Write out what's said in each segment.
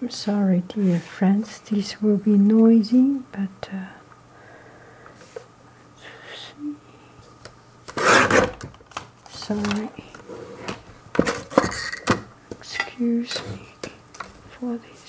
I'm sorry, dear friends, this will be noisy, but uh, sorry. Excuse me for this.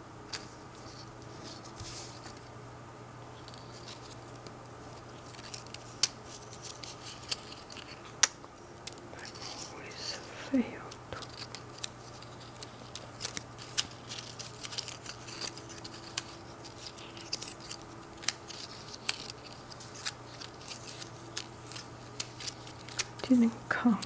always failed. Didn't count.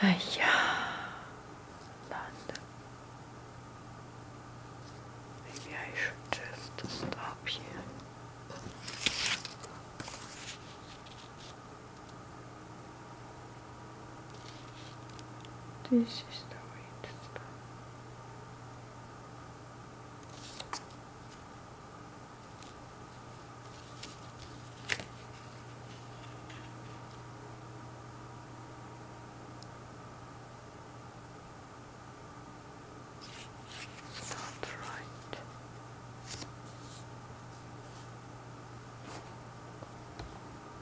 Aia, Maybe I should just stop here. This is the way to start. right.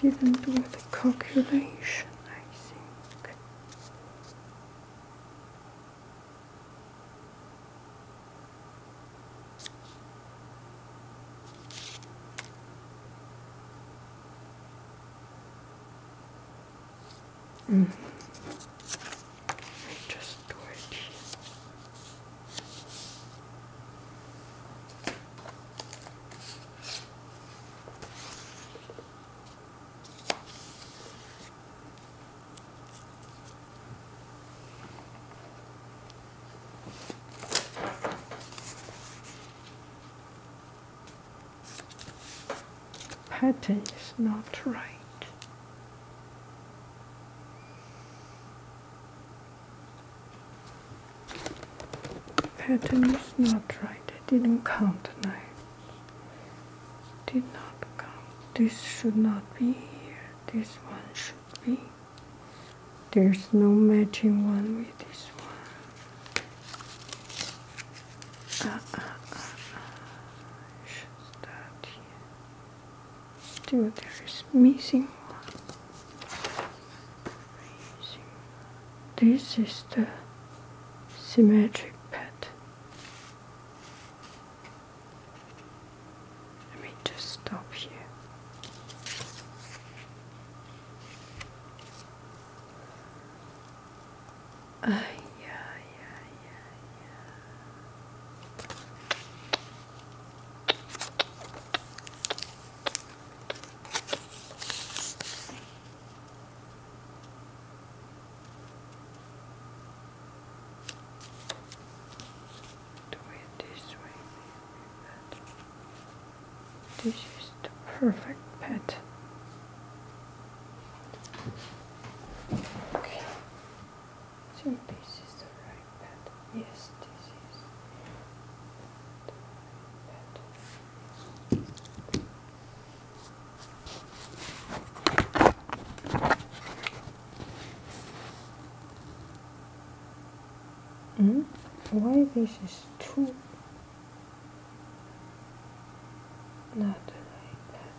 Didn't do the calculation, I think. Mm. just do pattern is not right. Pattern is not right. It didn't count now. Did not count. This should not be here. This one should be. There's no matching one with this one. Uh, uh, uh, uh. Should start here. Still, there is missing one. This is the symmetric pad. Let me just stop here. Ay, ay, ay, ay, ay. Do it this way, This is the perfect pet. Okay. Two pieces right pet. Yes, this is the Mm? Why this is too not like that?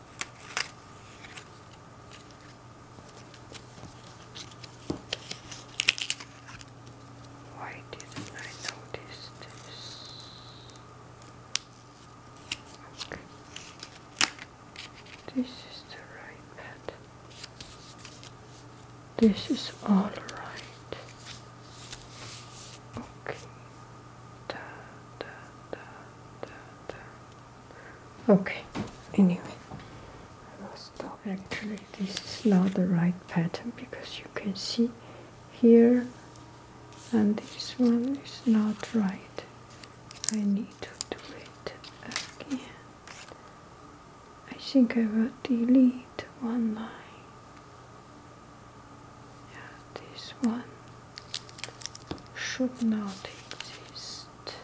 Why didn't I notice this? Okay. This is the right pad. This is all right. Okay. Uh, okay anyway so actually this is not the right pattern because you can see here and this one is not right I need to do it again I think I will delete one line yeah, this one should not exist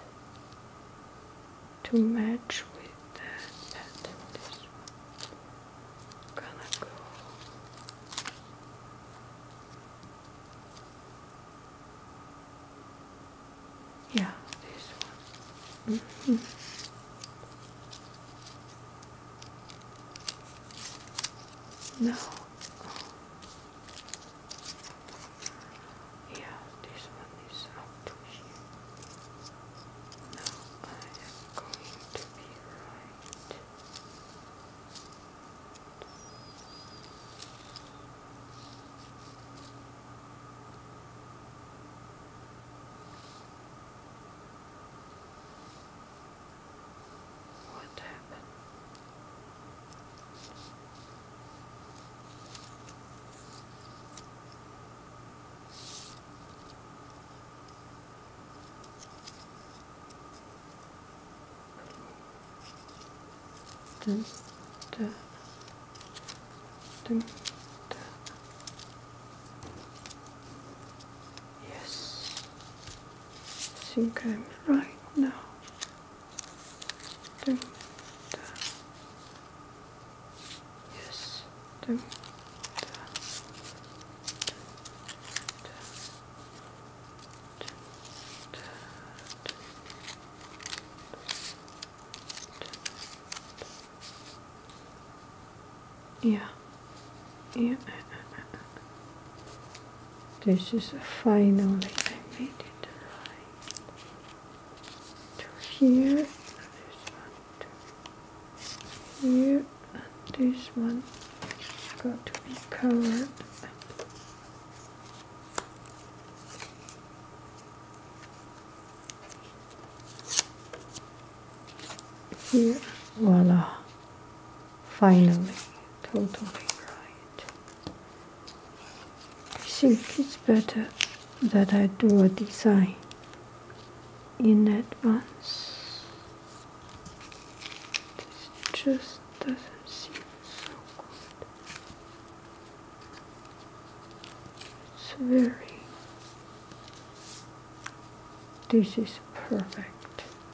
to match with that This one gonna go. Yeah, this one. Mm-hmm. No. Yeah, this one is out to here. Now I am going to be right. What happened? Yes, think I'm right now dun, dun. yes dun, dun, dun, dun, dun, dun, yeah yeah. This is finally I made it to here, this one to here, and this one has got to be covered. Here, voila finally totally right. I think it's better that I do a design in advance. This just doesn't seem so good. It's very. This is perfect.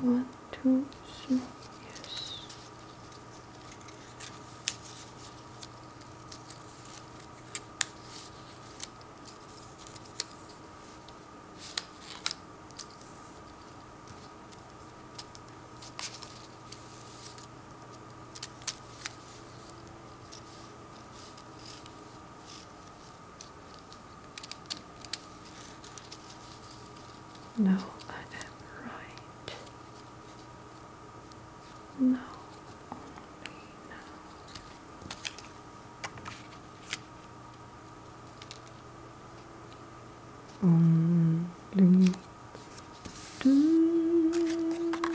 One, two, three, yes. No, I am right. No, only now. Only mm, do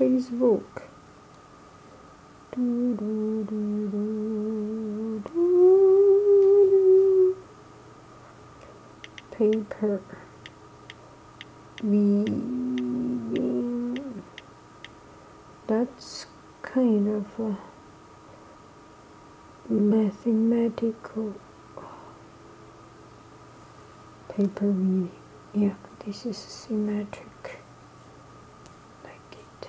Facebook paper vegan. That's kind of a mathematical paper vegan. Yeah, this is symmetric. Like it.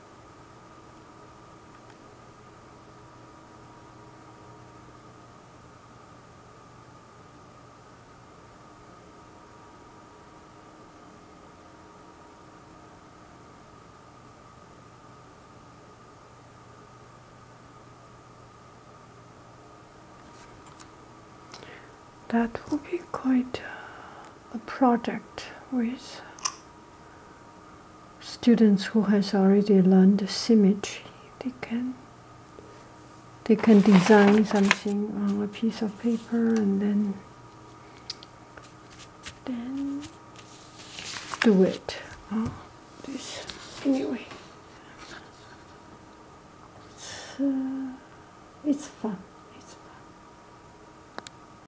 that will be quite uh, a project with students who has already learned symmetry, they can they can design something on a piece of paper and then then do it. Oh, this anyway. It's, uh, it's fun. It's fun.